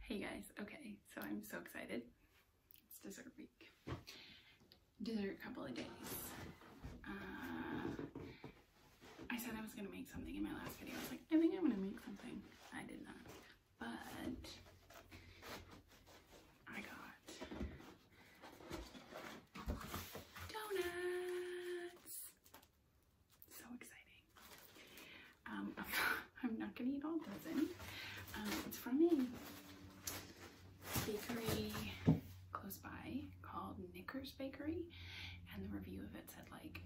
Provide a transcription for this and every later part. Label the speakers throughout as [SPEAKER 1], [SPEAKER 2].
[SPEAKER 1] Hey guys, okay, so I'm so excited. It's dessert week. Dessert couple of days. Uh, I said I was gonna make something in my last video. I was like, I think I'm gonna make something. I did not. But I got donuts. So exciting. Um, I'm not gonna eat all dozen. Um, it's from a bakery close by called Knickers Bakery, and the review of it said like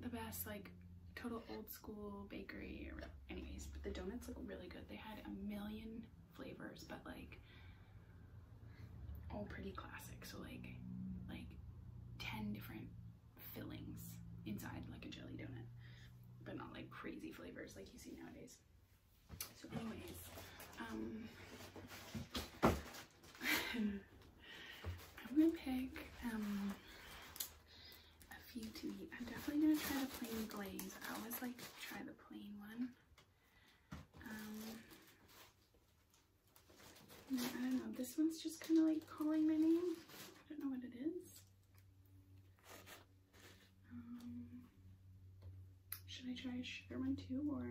[SPEAKER 1] the best like total old school bakery. Anyways, but the donuts look really good. They had a million flavors, but like all pretty classic. So like like 10 different fillings inside like a jelly donut, but not like crazy flavors like you see nowadays. So anyways, um, I'm gonna pick um, a few to eat. I'm definitely gonna try the plain glaze. I always like try the plain one. Um, I don't know, this one's just kind of like calling my name. I don't know what it is. Um, should I try a sugar one too, or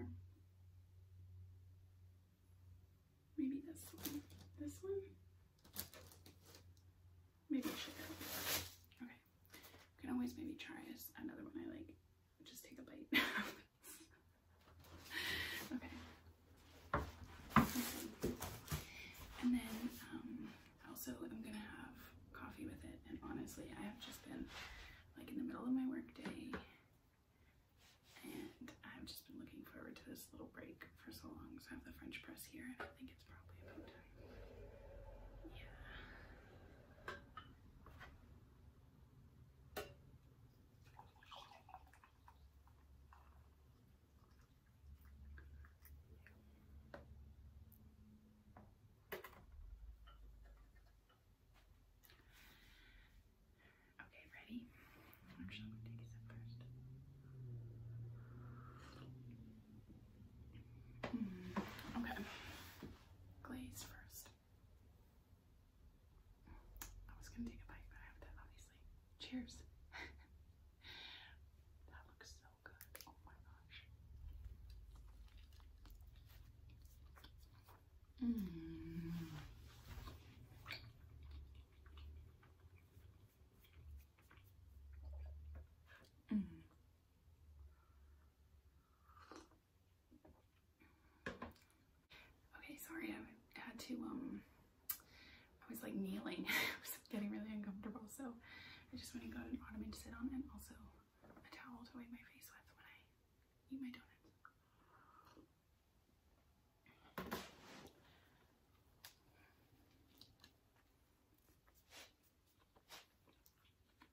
[SPEAKER 1] maybe this one? This one? Maybe sugar. Okay, I can always maybe try another one I like. Just take a bite. okay. And then um, also I'm gonna have coffee with it. And honestly, I have just been like in the middle of my work day and I've just been looking forward to this little break for so long. So I have the French press here and I think it's probably about time. Yeah. Okay, ready? I'm just gonna take a first. Hmm, okay. Glaze first. I was gonna take a bite, but I have to obviously. Cheers. that looks so good. Oh my gosh. Mm. Mm. Okay, sorry, I had to, um, I was like kneeling. I was getting really uncomfortable, so I just went and got an ottoman to sit on and also a towel to wipe my face with when I eat my donuts.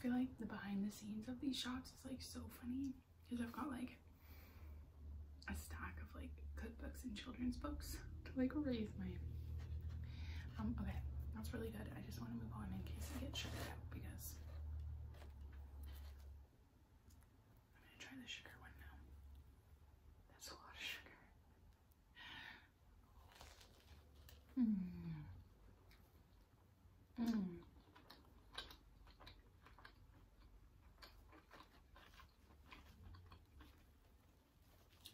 [SPEAKER 1] I always feel like the behind the scenes of these shops is like so funny because I've got like a stack of like cookbooks and children's books to like raise my um okay that's really good I just want to move on in case I get shut out because I'm gonna try the sugar one now. That's a lot of sugar. Mm. Mm.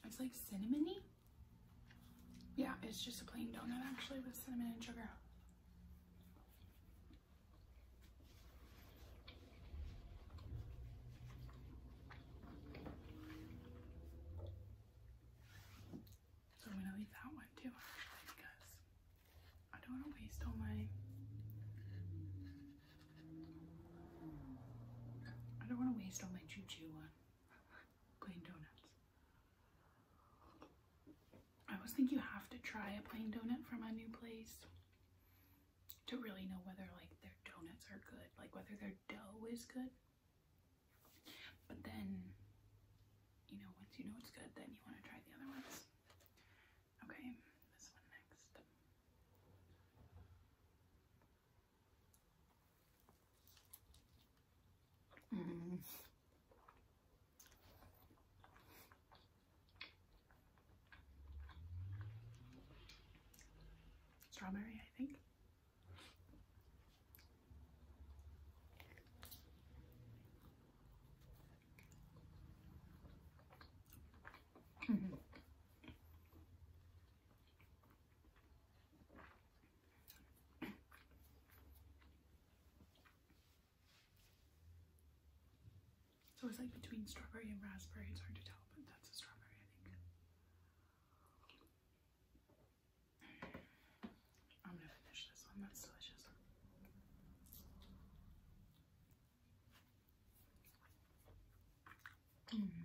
[SPEAKER 1] It's like cinnamony. Yeah, it's just a plain donut actually with cinnamon and sugar. So I'm gonna leave that one too because I don't want to waste all my I don't want to waste all my choo choo on plain donuts. I always think you have to try a plain donut from a new place to really know whether like their donuts are good, like whether their dough is good. But then, you know, once you know it's good, then you want to try the other ones. Okay, this one next. Mm. Strawberry, I think. Mm-hmm. It's always like between strawberry and raspberry, it's hard to tell, but that's a strawberry, I think. I'm gonna finish this one, that's delicious. Mm.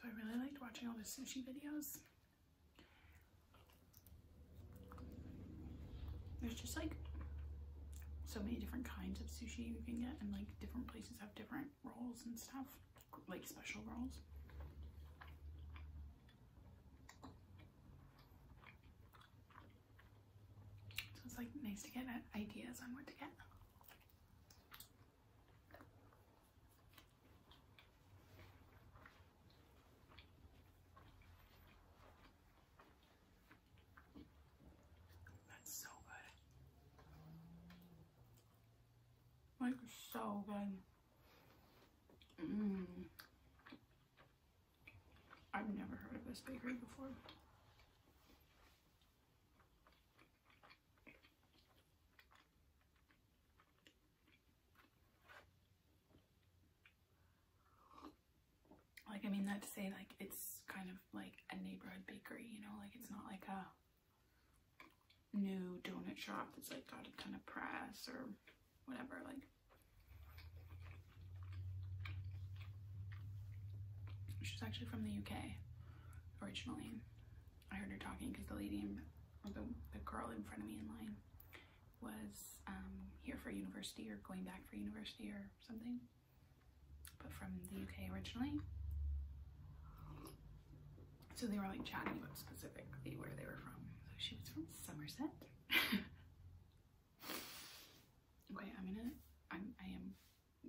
[SPEAKER 1] So I really liked watching all the sushi videos. There's just like so many different kinds of sushi you can get and like different places have different rolls and stuff, like special rolls. So it's like nice to get uh, ideas on what to get. That's so good. Like so good. Mm. I've never heard of this bakery before. Like, I mean that to say, like, it's kind of like a neighborhood bakery, you know? Like, it's not like a new donut shop that's, like, got a ton of press or whatever, like. She's actually from the UK originally. I heard her talking because the lady, or the, the girl in front of me in line was um, here for university or going back for university or something, but from the UK originally. So they were like chatting about specifically where they were from. So she was from Somerset. okay, I'm gonna, I'm, I am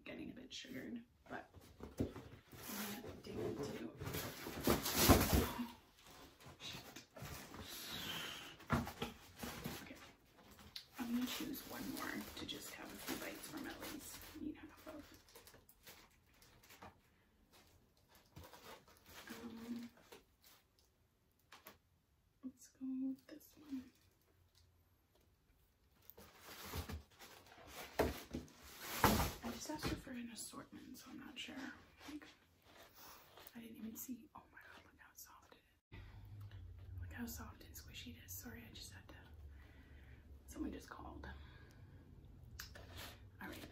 [SPEAKER 1] getting a bit sugared, but I'm gonna dig Okay, I'm gonna choose one more to just have a few bites from at least eat half of. Um, let's go with this one. I just asked her for an assortment, so I'm not sure. I didn't even see. Oh my god, look how soft it is. Look how soft and squishy it is. Sorry, I just had to. Someone just called. Alright,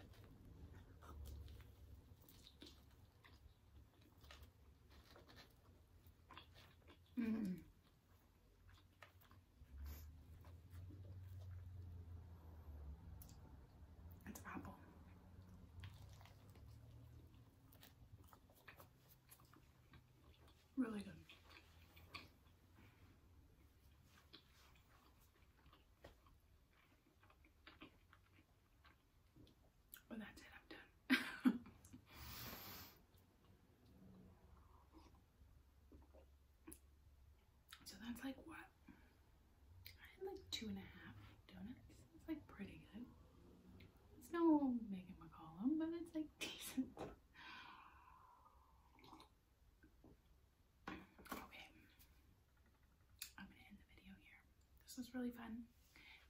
[SPEAKER 1] Mm. It's apple. Really good. Well, that's it, I'm done. so that's like what? I had like two and a half donuts. It's like pretty good. It's no Megan McCollum, but it's like decent. Okay, I'm gonna end the video here. This was really fun.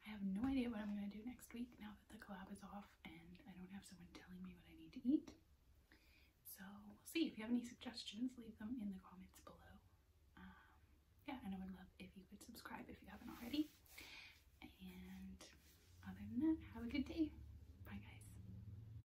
[SPEAKER 1] I have no idea what I'm gonna do next week now that the collab is off and I don't have someone telling me what I need to eat. So we'll see. If you have any suggestions, leave them in the comments below. Um, yeah, and I would love if you would subscribe if you haven't already. And other than that, have a good day. Bye guys.